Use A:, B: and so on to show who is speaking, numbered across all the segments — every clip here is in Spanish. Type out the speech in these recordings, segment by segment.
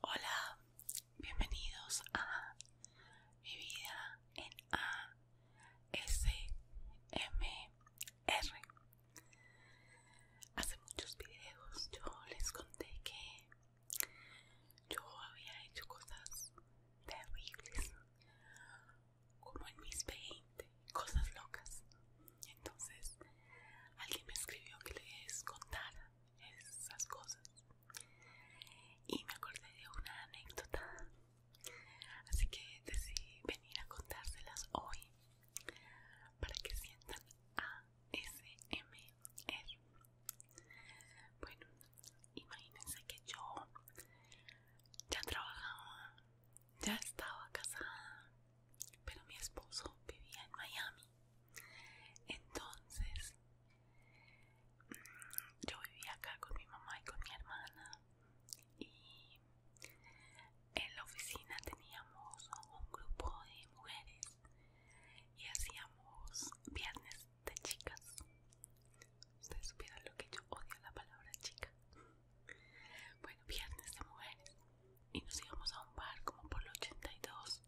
A: Hola, bienvenidos a mi vida en ASMR. Hace muchos videos yo les conté que yo había hecho cosas terribles, como en mis 20, cosas locas. Entonces, alguien me escribió que les contara esas cosas. Y me acordé de una anécdota. Así que decidí venir a contárselas hoy para que sientan ASMR. Bueno, imagínense que yo ya trabajaba, ya estaba casada, pero mi esposo vivía en Miami. Entonces, mm, yo vivía acá con mi mamá y con mi hermana y en la oficina teníamos un grupo de mujeres y hacíamos viernes de chicas. Ustedes supieran lo que yo odio la palabra chica. Bueno, viernes de mujeres. Y nos íbamos a un bar como por el 82.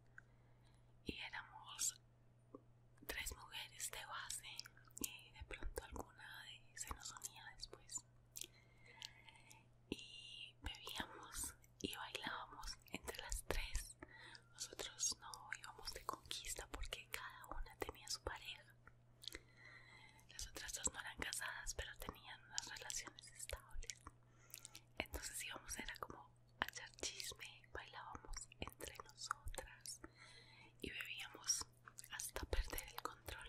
A: Y éramos tres mujeres de base. Y de pronto alguna se nos unía después. Y bebíamos y bailábamos entre las tres nosotros no íbamos de conquista porque cada una tenía su pareja. Las otras dos no eran casadas, pero tenían unas relaciones estables. Entonces íbamos, era como a echar chisme, bailábamos entre nosotras y bebíamos hasta perder el control.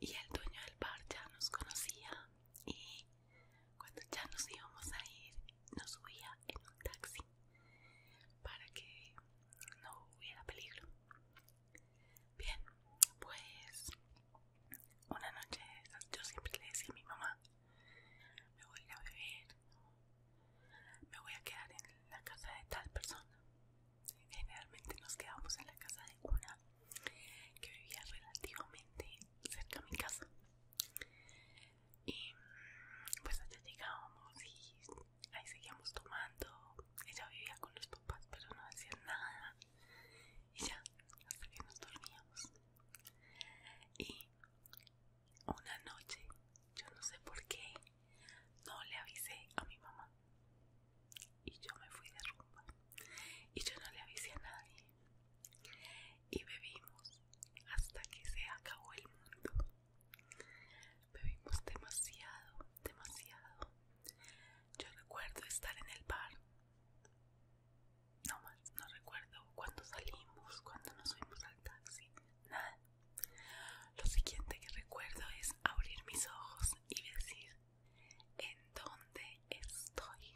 A: Y el dueño del bar ya nos conocía y cuando ya nos íbamos a ir, nos subía en un taxi para que no hubiera peligro. Bien, pues una noche yo siempre le decía a mi mamá, me voy a ir a beber, me voy a quedar en la casa de tal persona. Generalmente nos quedamos en la casa de una que vivía relativamente cerca de mi casa. Y pues allá llegábamos y ahí seguíamos tomando. Ella vivía con los papás, pero no hacía nada. Y ya, hasta que nos dormíamos. Y una noche, yo no sé por qué, no le avisé a mi mamá. Y yo me fui de rumba. Y yo no le avisé a nadie y bebimos hasta que se acabó el mundo. Bebimos demasiado, demasiado. Yo recuerdo estar en el bar. No más, no recuerdo cuando salimos, cuando nos fuimos al taxi, nada. Lo siguiente que recuerdo es abrir mis ojos y decir, ¿en dónde estoy?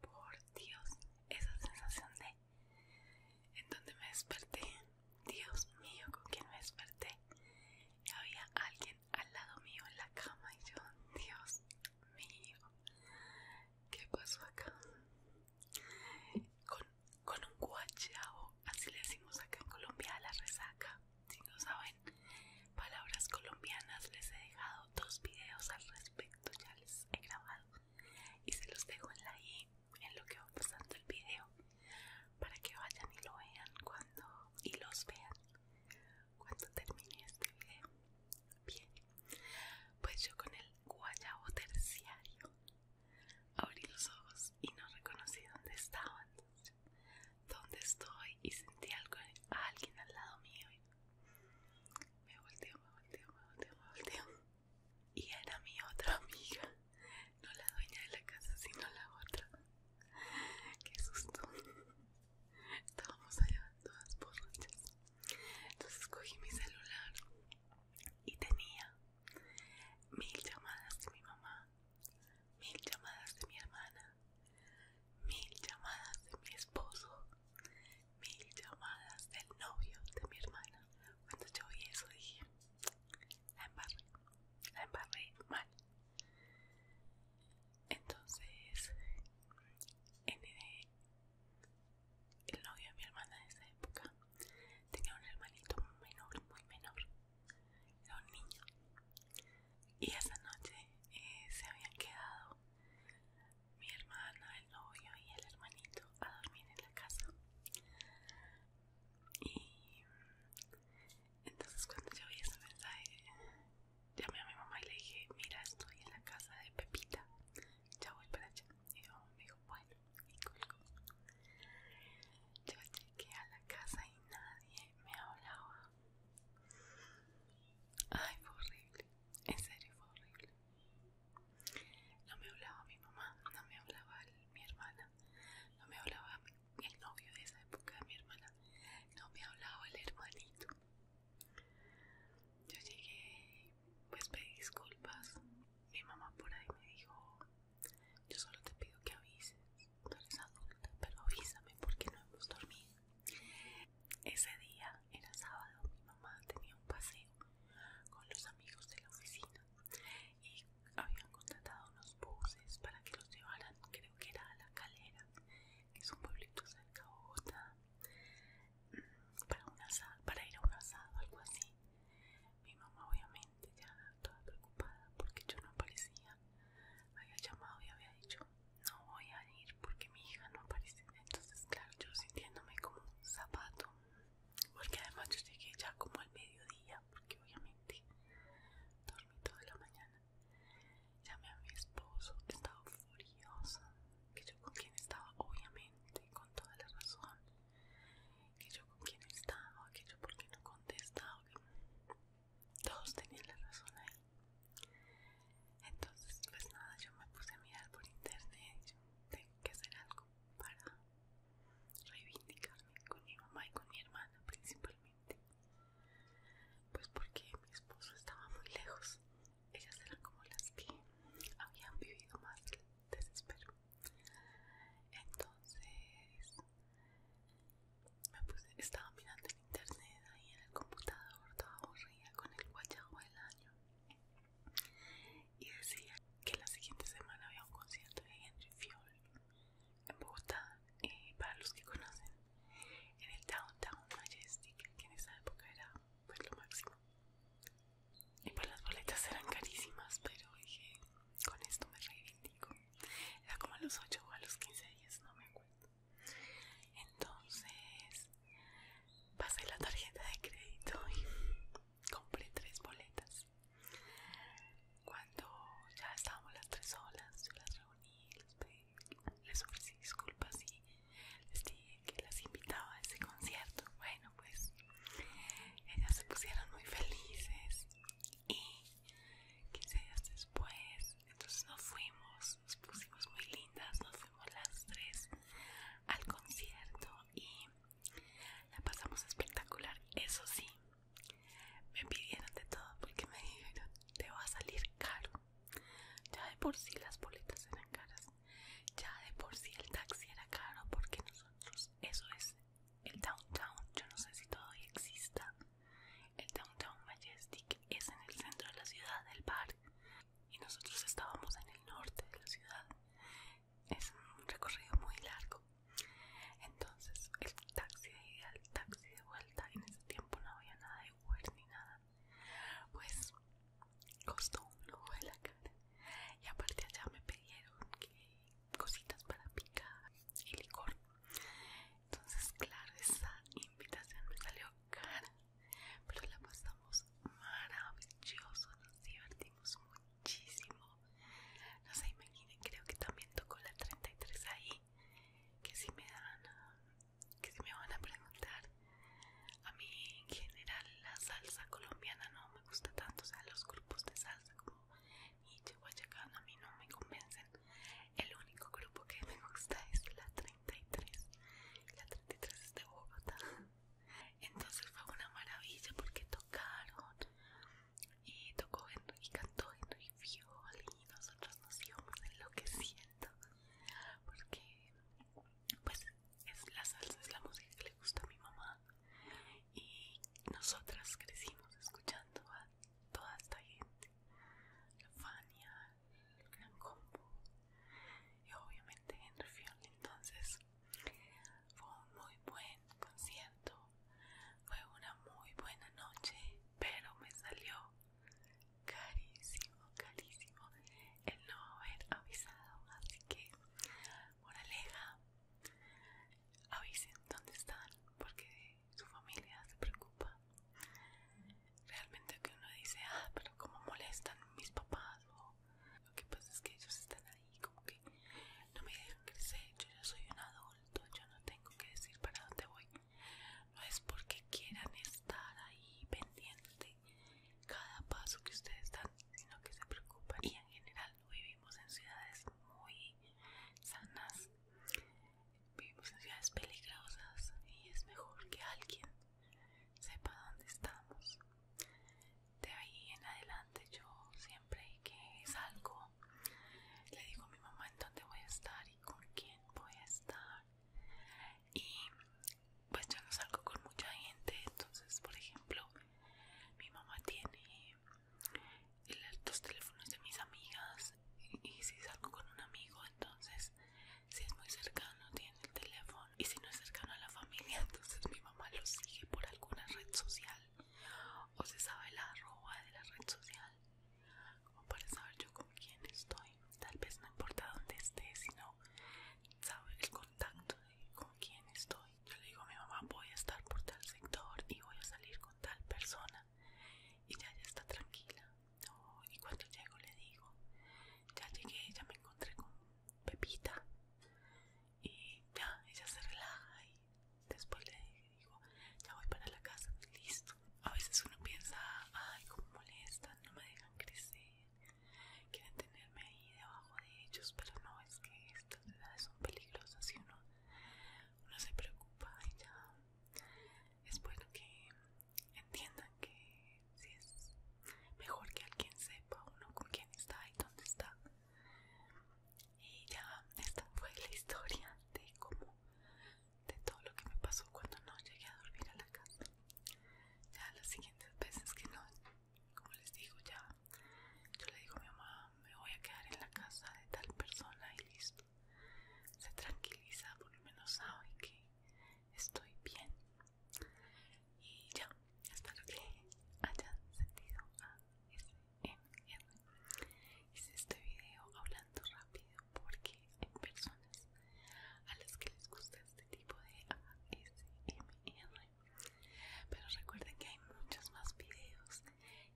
A: Por Dios, esa sensación de en donde me desperté. Dios mío, con quien me desperté. había alguien al lado mío en la cama y yo, Dios mío, ¿qué pasó acá? Con, con un guachao, así le decimos acá en Colombia a la resaca. Si no saben palabras colombianas, les he dejado dos videos al respecto, ya les he grabado y se los dejo en la i en lo que va pasando el video para que vayan y lo vean cuando y los vean cuando termine este video bien pues yo con el guayabo terciario abrí los ojos y no reconocí dónde estaban dónde estoy y sentí algo a alguien al lado mío me volteo, me volteo, me volteo, me volteo. Y era mi otra amiga. No la dueña de la casa, sino la otra. Qué susto. Estábamos allá todas borrachas. Entonces cogí mi celular y tenía mil llamadas de mi mamá, mil llamadas de mi hermana, mil llamadas de mi esposo, mil llamadas del novio de mi hermana. Cuando yo vi eso dije, la embarré, la embarré mal. Entonces, el, novio de mi hermana de esa época tenía un hermanito menor, muy menor, era un niño. Y esa noche eh, se habían quedado mi hermana, el novio y el hermanito a dormir en la casa. Y entonces cuando yo vi esa mensaje, llamé a mi mamá y le dije, mira, estoy en la casa de Pepita, ya voy para allá. Y mi me dijo, bueno, y colgó. Yo llegué a la casa y nadie me hablaba. Ay, fue horrible. En serio, fue horrible. No me hablaba mi mamá, no me hablaba mi hermana, no me hablaba el novio de esa época de mi hermana, no me hablaba el hermanito. Yo llegué, pues pedí disculpas. Mi mamá por ahí me dijo, yo solo te pido que avises, tú eres adulta, pero avísame porque no hemos dormido. Ese día era sábado, mi mamá tenía un paseo con los amigos de la oficina y habían contratado unos buses para que los llevaran, creo que era a La Calera, que es un pueblito cerca de Bogotá, mm, para, un asado, para ir a un asado, algo así. Mi mamá obviamente ya toda preocupada porque yo no aparecía, había llamado y había dicho, no voy a ir porque mi hija no aparece entonces claro yo sintiéndome como un zapato porque además yo llegué ya como al mediodía porque obviamente dormí toda la mañana llamé a mi esposo estaba furiosa que yo con quien estaba obviamente con toda la razón que yo con quien estaba que yo porque no contestaba todos tenían la razón ahí entonces, pues nada, yo me puse a mirar por internet. Yo tengo que hacer algo para reivindicarme con mi mamá y con mi hermana principalmente. Pues porque mi esposo estaba muy lejos. Ellas eran como las que habían vivido más el desespero. Entonces, me puse, estaba mirando en internet ahí en el computador, estaba aburrida con el guayabo del año y decía que la siguiente semana había un concierto de Henry Fiol en Bogotá, y para los que conocen, en el Downtown Majestic, que en esa época era pues, lo máximo. Y pues las boletas eran carísimas, pero dije, con esto me reivindico. Era como a los 8 o a los 15 días, no me acuerdo. Entonces Pasé la tarjeta de crédito y compré tres boletas. Cuando ya estábamos las tres solas, yo las reuní, les, les ofrecí disculpas y les dije que las invitaba a ese concierto. Bueno, pues ellas se pusieron muy felices y 15 días después, entonces nos fuimos nos, pusimos muy lindas, nos fuimos las tres al concierto y la pasamos espectacular. Eso sí, me pidieron de todo porque me dijeron, te va a salir caro. Ya de por sí las boletas eran caras, ya de por sí el taxi era caro porque nosotros, eso es el downtown, yo no sé si todavía exista. El downtown Majestic es en el centro de la ciudad, del bar y nosotros estábamos en el norte de la ciudad. Es un recorrido muy largo. Entonces, el taxi de ida, el taxi de vuelta, en ese tiempo no había nada de Uber ni nada. Pues costó un ojo de la cara. Y aparte allá me pidieron cositas para picar y licor. Entonces, claro, esa invitación me salió pero la pasamos maravilloso, nos divertimos muchísimo. No se imaginen, creo que también tocó la 33 ahí, que si me dan, que si me van a preguntar, a mí en general la salsa colombiana no me gusta tanto, o sea, los grupos de salsa como y a mí no me convencen. El único grupo que me gusta es la 33. La 33 es de Bogotá. Entonces fue una maravilla porque tocaron y tocó y cantó y y nosotros nos íbamos enloqueciendo porque pues es la salsa, es la música que le gusta a mi mamá y nosotras crecimos escuchando a toda esta gente, la Fania, el gran combo y obviamente en Field entonces fue un muy buen concierto fue una muy buena noche pero me salió carísimo carísimo el no haber avisado así que por aleja avisen dónde están porque su familia se preocupa realmente que uno dice, ah, pero como molestan mis papás o lo que pasa es que ellos están ahí como que no me dejan crecer, yo ya soy un adulto, yo no tengo que decir para dónde voy. No es porque quieran estar ahí pendiente cada paso que ustedes dan, sino que se preocupan y en general vivimos en ciudades muy sanas, vivimos en ciudades peligrosas y es mejor que alguien sepa dónde estamos. De ahí en adelante yo siempre que salgo le digo a mi mamá en dónde voy a estar y con quién voy a estar. Y pues yo no salgo con mucha gente, entonces por ejemplo mi mamá tiene los teléfonos de mis amigas y, y si salgo con un amigo entonces si es muy cercano tiene el teléfono y si no es cercano a la familia entonces mi mamá lo sigue por alguna red social o se sabe la arroba de la red social como para saber yo con quién estoy tal vez no importa dónde esté sino sabe el contacto de con quién estoy yo le digo a mi mamá voy a estar por tal sector y voy a salir con tal persona y ya ya está tranquila y cuando llego le digo ya llegué ya me con Pepita y ya, ella se relaja y después le digo, ya voy para la casa, listo. A veces uno piensa, ay, cómo molestan, no me dejan crecer, quieren tenerme ahí debajo de ellos, pero no, es que estas es son peligrosas y uno, uno se preocupa y ya es bueno que entiendan que si es mejor que alguien sepa uno con quién está y dónde está y ya esta fue la historia de cómo de todo lo que me pasó cuando no llegué a dormir a la casa ya las siguientes veces que no como les digo ya yo le digo a mi mamá me voy a quedar en la casa de tal persona y listo se tranquiliza por lo menos sabe que estoy bien y ya, espero que hayan sentido a Hice este video hablando rápido porque hay personas a las que les gusta este tipo de ASMR. Pero recuerden que hay muchos más videos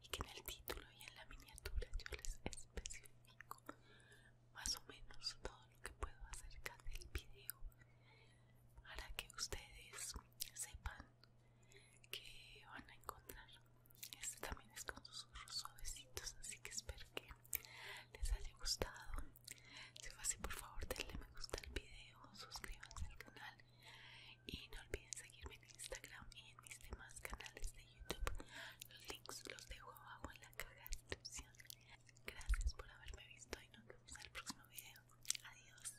A: y que en el título y en la miniatura yo les especifico más o menos todo lo que puedo acerca del video para que ustedes sepan que van a encontrar este también es con susurros suavecitos así que espero que les haya gustado si fue así por favor denle me gusta al video suscríbanse al canal y no olviden seguirme en Instagram y en mis demás canales de YouTube los links los dejo abajo en la caja de descripción Gracias por haberme visto y nos vemos en el próximo video. Adiós.